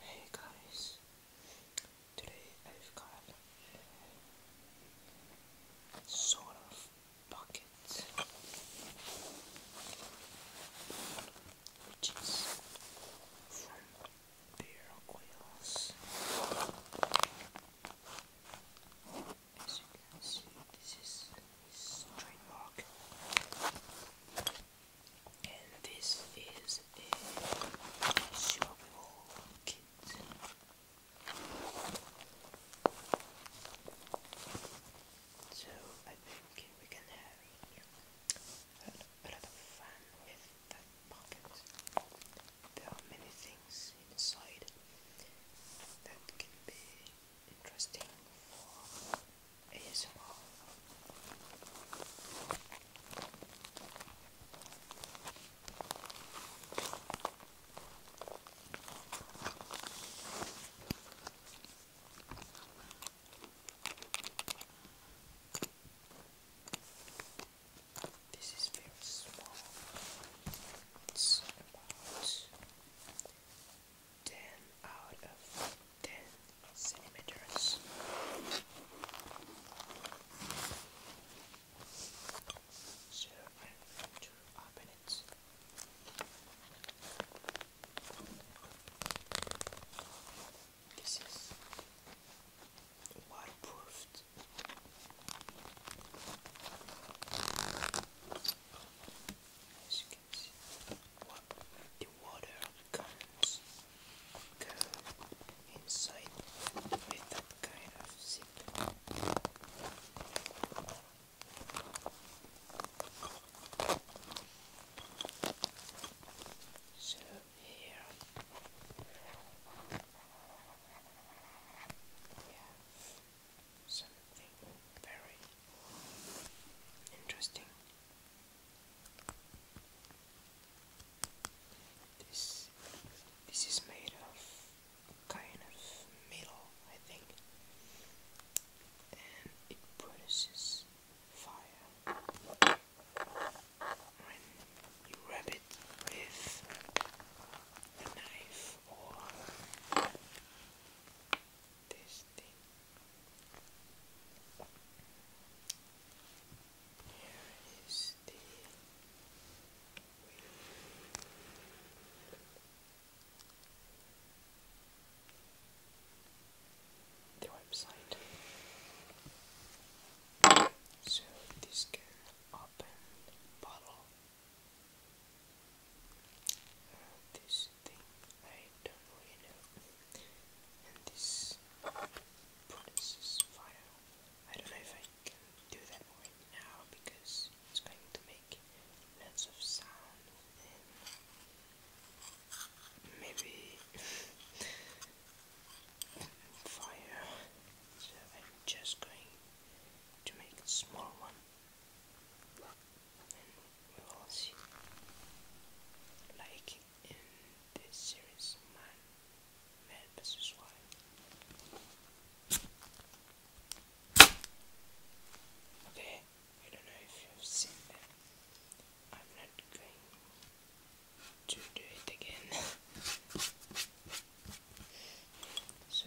Hey guys, today I've got sort of bucket, which is from Bear Oils. As you can see, this is his trademark. And this is a shoppable kit. So I think we can have a lot of fun with that pocket. There are many things inside that can be interesting This is very small. It's about 10 out of 10 centimeters. So i This is waterproofed. As you can see, what the water comes go inside with that kind of zip. So here we something very interesting. This this is made of kind of metal, I think, and it produces fire when you rub it with a knife this thing. Here is the website. So this can open bottle this thing I don't really know and this produces fire I don't know if I can do that right now because it's going to make lots of sound and maybe fire I'm just going to make a small one and like in this series man man versus wild okay I don't know if you've seen them I'm not going to do it again so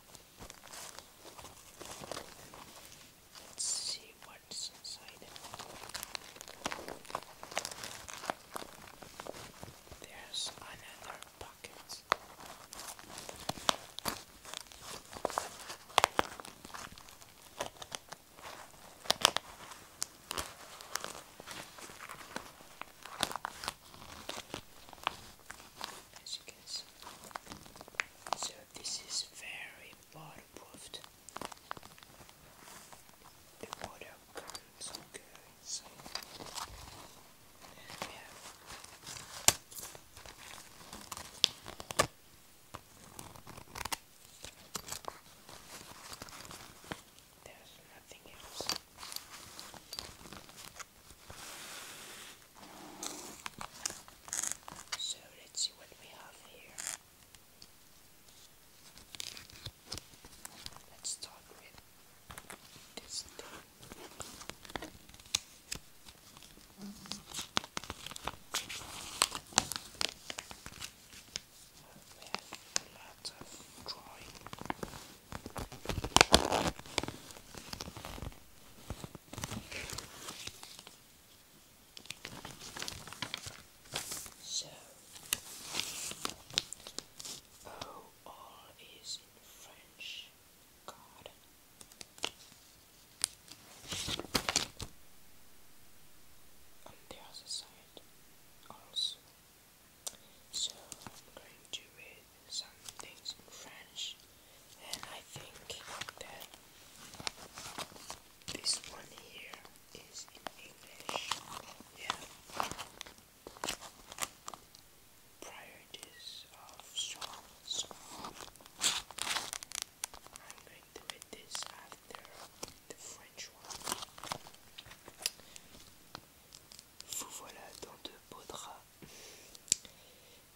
Let's see what's inside it. There's another pocket. So this is very waterproofed. The water comes there's nothing else. So let's see what we have here. Let's start with this thing. We have a of drawing. So, oh, all is in French. God. On the other side, also. So I'm going to read some things in French, and I think that this one here is in English. Yeah. Priorities of strong I'm going to read this after the French one. Vous voilà dans de beaux draps.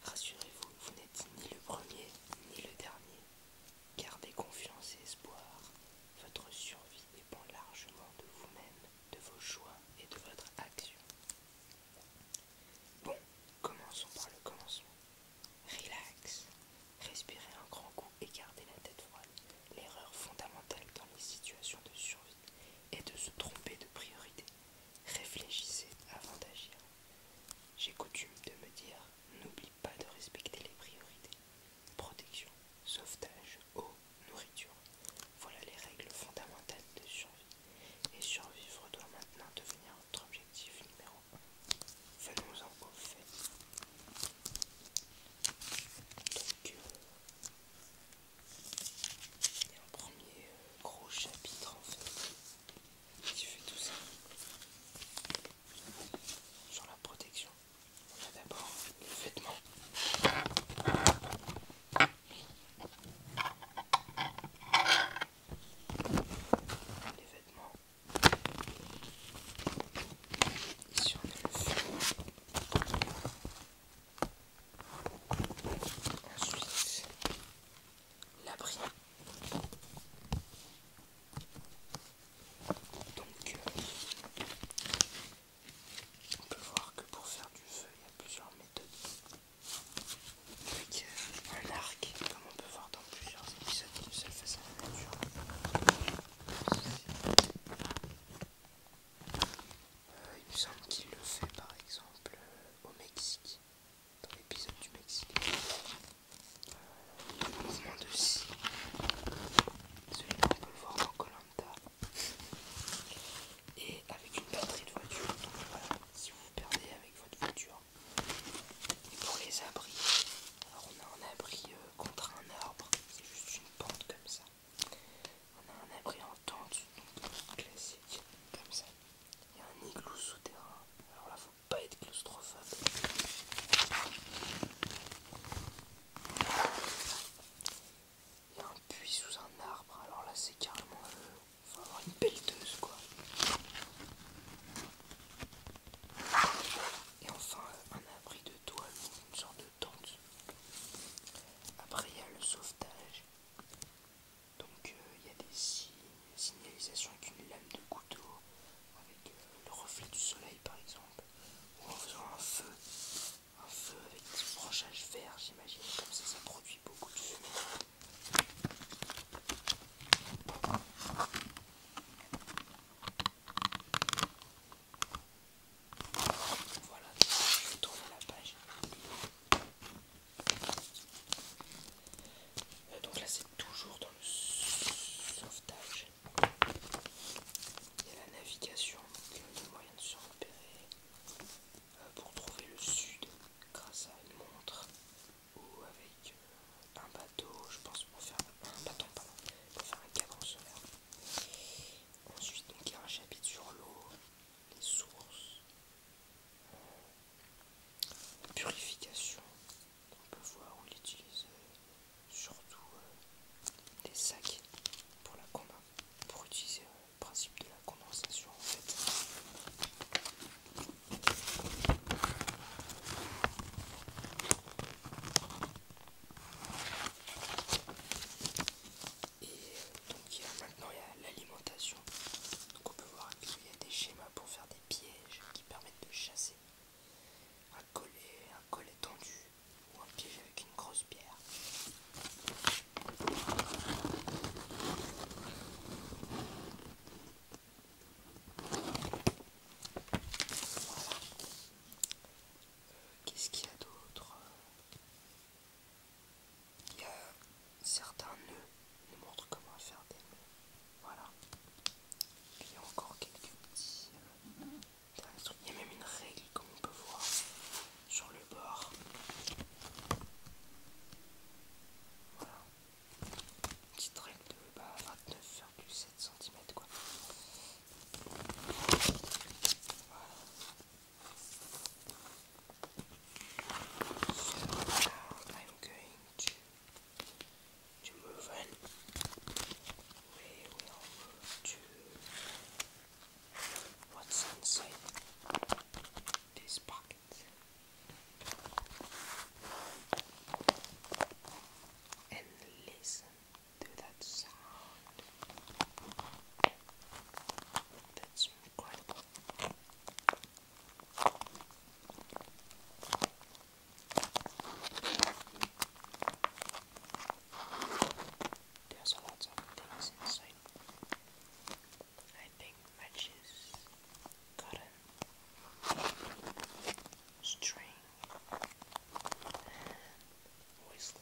Rassurez-vous, vous, n'êtes ni le premier ni le dernier. Gardez confiance et espoir. Votre survie dépend largement de vous-même, de vos choix et de votre action. Bon, commençons par le commencement. Relax. Respirez un grand coup et gardez la tête froide. L'erreur fondamentale dans les situations de survie est de se tromper de priorité Réfléchissez avant d'agir. J'ai coutume de me dire, n'oublie pas de respecter les priorités. Protection, sauvetage, eau, nourriture. Voilà les règles fondamentales de survie. Et survivre doit maintenant devenir notre objectif numéro 1. Venons-en aux fait. Euh, et un premier euh, gros chapitre en fait qui fait tout ça sur la protection. On a d'abord les vêtements. Les vêtements. Ici on a le feu. Ensuite, l'abri. Donc, euh, on peut voir que pour faire du feu, il y a plusieurs méthodes. Avec euh, un arc, comme on peut voir dans plusieurs épisodes de Seule à la nature. Euh, il me semble qu'il le fait par exemple euh, au Mexique, dans l'épisode du Mexique. a un mouvement de scie, celui qu'on peut voir dans Colanta, et avec une batterie de voiture. Donc voilà, si vous vous perdez avec votre voiture. Et pour les abris, alors on a un abri euh, contre un arbre, c'est juste une pente comme ça. On a un abri en tente, classique, comme ça. Il y a un igloo souterrain. Alors là, faut pas être claustrophobe. Il y a un puits sous un arbre. Alors là, c'est carrément. Euh, faut avoir une pelleteuse, quoi. Et enfin, euh, un abri de toile, une sorte de tente. Après, il y a le sauvetage. Donc euh, il y a des signalisations avec une lame de couteau, avec euh, le reflet du soleil par exemple, ou en faisant un feu, un feu avec des brochages verts j'imagine, comme ça ça produit beaucoup de fumée. Voilà, je vais tourner la page. Donc là c'est toujours dans le sauvetage. Il y a la navigation, donc euh, le moyen de se repérer euh, pour trouver le sud grâce à une montre ou avec euh, un bateau, je pense pour faire un bateau, pardon, pour faire un solaire. Ensuite donc il y a un chapitre sur l'eau, les sources, Purification, on peut voir où il utilise euh, surtout euh, les sacs pour la combat, pour utiliser euh, le principe de la condensation en fait. Et euh, donc il y a maintenant l'alimentation. Donc on peut voir qu'il y a des schémas pour faire des pièges qui permettent de chasser. Un collet, un tendu ou un piège avec une grosse pierre. Voilà. Euh, qu'est-ce qu'il y a d'autre il y a certains nœuds, qui nous montrent comment faire des nœuds. Voilà. Et il y a encore quelques petits euh, trucs. Il y a même une règle, comme on peut voir, sur le bord. Voilà. Une petite règle de 29,7 bah, cm quoi. Voilà. now I'm going to move on. We will to what's inside this pocket. And listen to that sound. That's incredible. There's of things inside. I think matches, cotton, string, and whistle.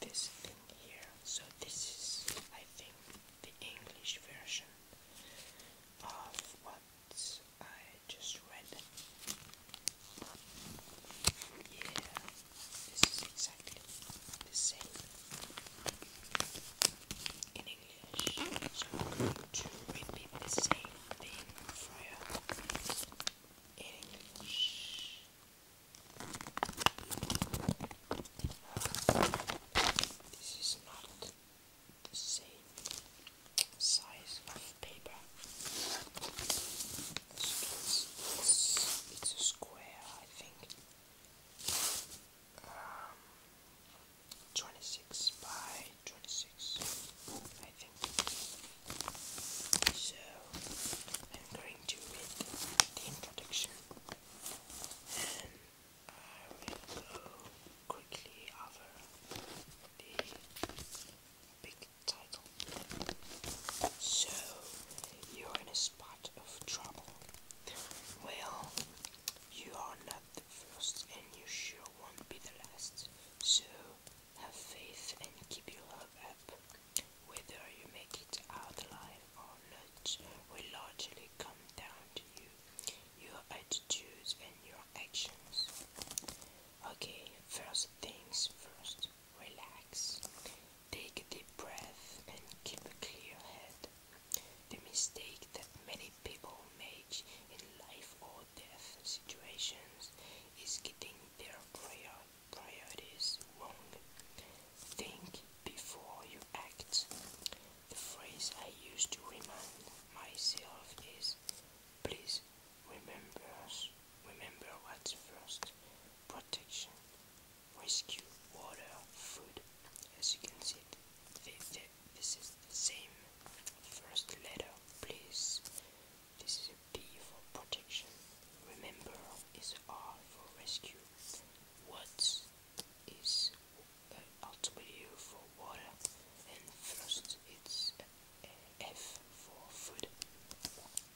this thing here. So this is, I think, the English version of what I just read. Yeah, this is exactly the same in English. So I'm going to repeat the same thing for you in English. This is not the same size of paper. It's, a square, I think. Um, 26 by 26, I so I'm going to read the introduction and I will go quickly over the big title. So you're in a spot of trouble. Well, you are not the first and you sure won't be the last. So have faith and keep your love up. Whether you make it out alive or not will largely come down to you, your attitudes and your actions. Okay, first things first, relax. Take a deep breath and keep a clear head. The mistake that many people make in life or death situations is getting their prayer priorities wrong. Think before you act. The phrase I use to remind myself is please remember remember what's first protection, rescue, water, food. As you can see, this is the same first letter, please. This is a P for protection. Remember is R for rescue. Watts is uh, W for water and Frost is F for food.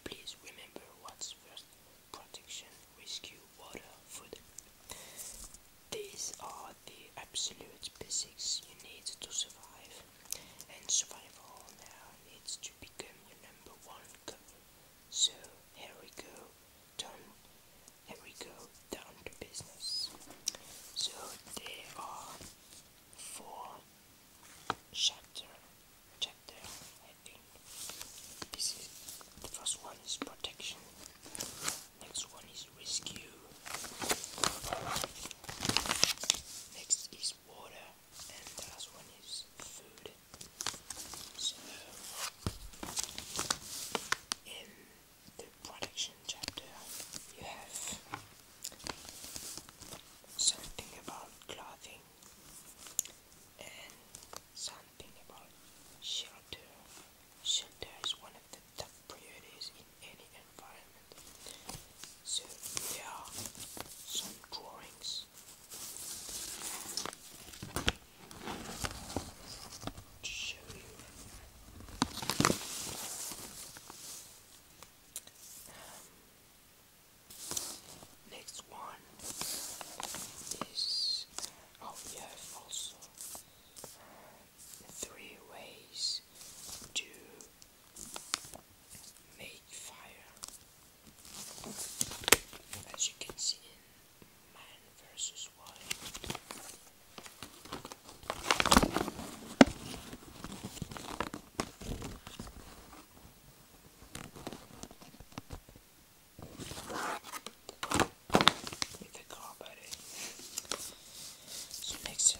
Please remember what's first protection, rescue, water, food. These are the absolute basics you need to survive and survival now needs to become your number one goal. So here we go, down, here we go, down to business. So there are four chapter, chapter I This is the first one is protection. Next one is rescue. Next is water and the last one is food. So, in the production chapter, you have something about clothing and something about shelter. Shelter is one of the top priorities in any environment. So there are some drawings. To show you, um, next one is oh, we also uh, three ways to make fire. As you can see Man vs. Wild. With the car battery. So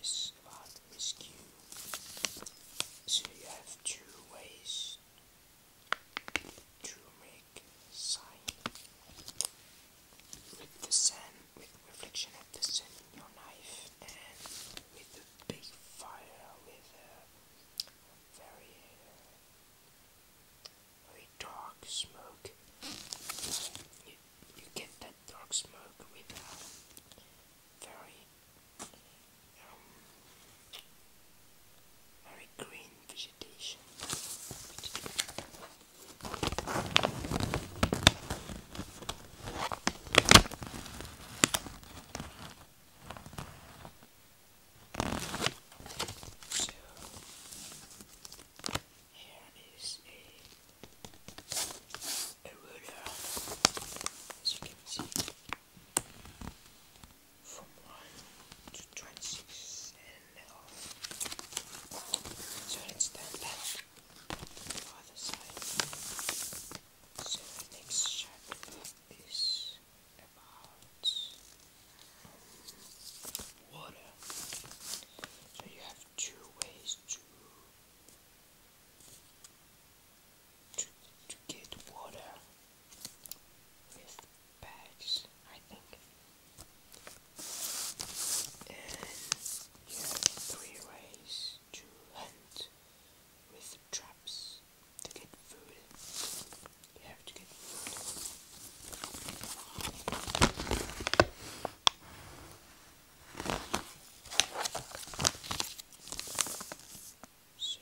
is about so you have two ways to make sign with the sun, with reflection of the sun in your knife, and with a big fire, with a very, very dark smoke. You, you get that dark smoke with a very um, very green vegetation. So here is a a ruler, uh, as you can see, from 1 to 26 So let's turn that So the next shape is about water. So you have two ways to to, get water with bags, I think. And you three ways to hunt with traps to get food. You have to get food. So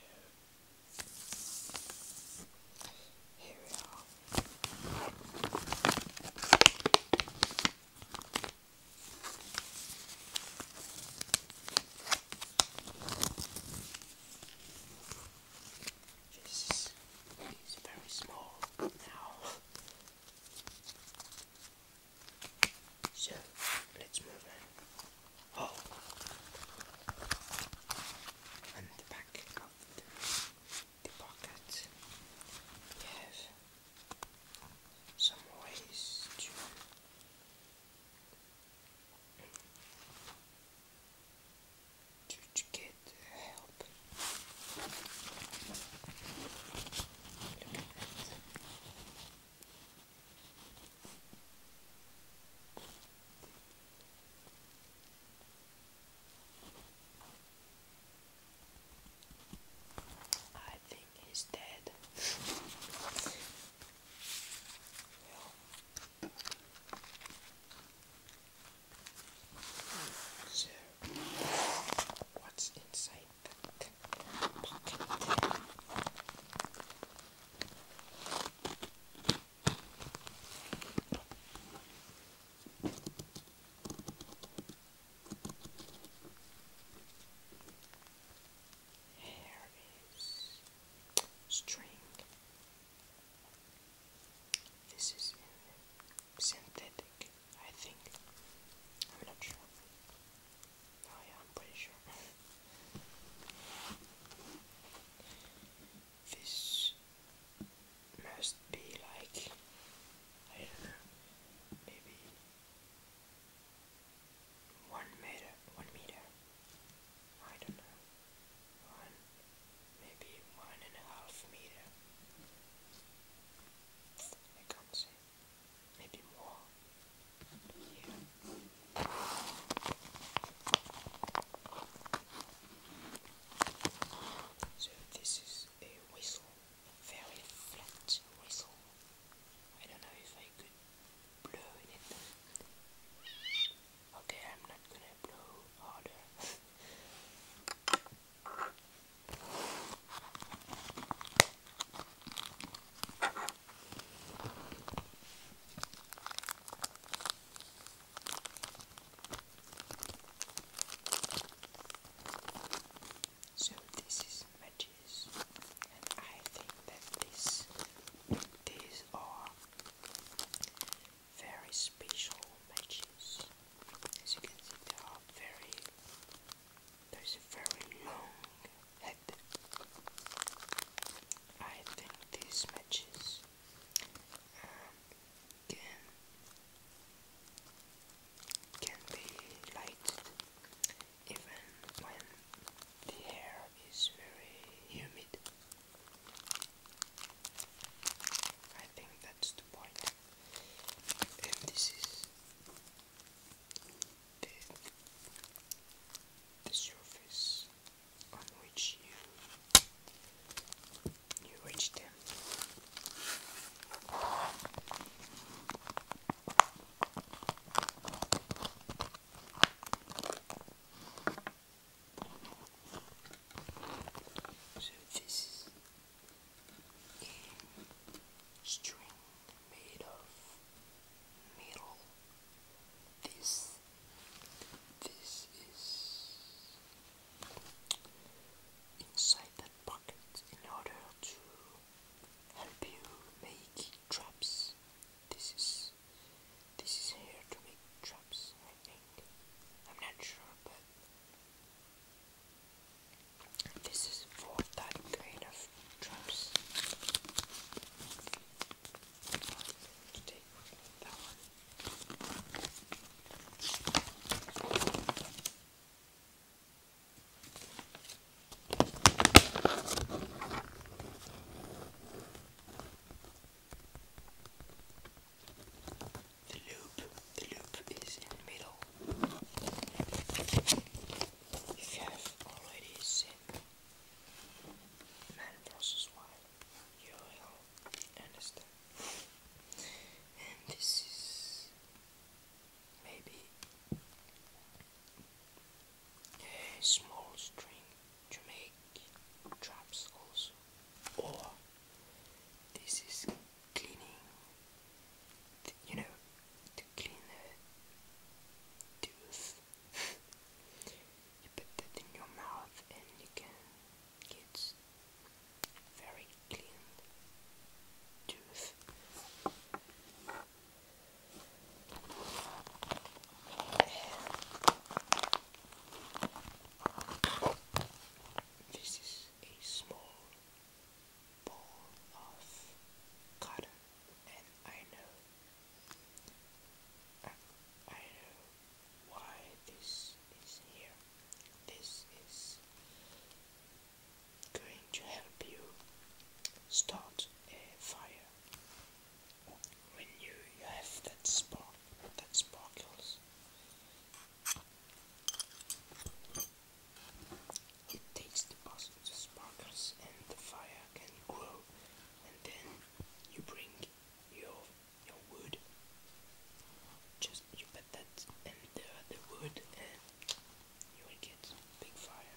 here we are. This is very small now. So let's move on. Oh, and the back the, pocket, we have some ways To, to get help. Look at that. I think he's dead. so what's inside that? pocket. pocket. Here is string. This is synthetic, I think. I'm not sure. Oh, i This must be like I don't know, maybe one meter, one meter. I don't know, one, maybe one and a half meter. I can't say. So this is a whistle, very flat whistle. I don't know if I could blow it. Okay, I'm not gonna blow harder. So this is matches, and I think that this these are very special matches. As you can see, they are very. There's a very long head. I think these matches um, can can be lighted even when the air is very humid. I think that's the And this is the, surface on which you you reach them. So this is string made of metal. This this is inside that pocket in order to help you make traps. This is this is here to make traps, I think. I'm not sure, but this is for that kind of traps. The loop, the loop is in the middle. If you have already seen Man vs. Wild, you will And this is maybe a small string to make traps also. Or this is cleaning, you know, clean the tooth. you put that in your mouth and you can get very clean tooth. this is a small ball of cotton, and I know, I know why this is here. This is going to help you start a fire when you, you have that spark that sparkles. It takes the, the sparkles and the fire can grow, and then you bring your your wood. Just you put that in the the wood, and you will get big fire.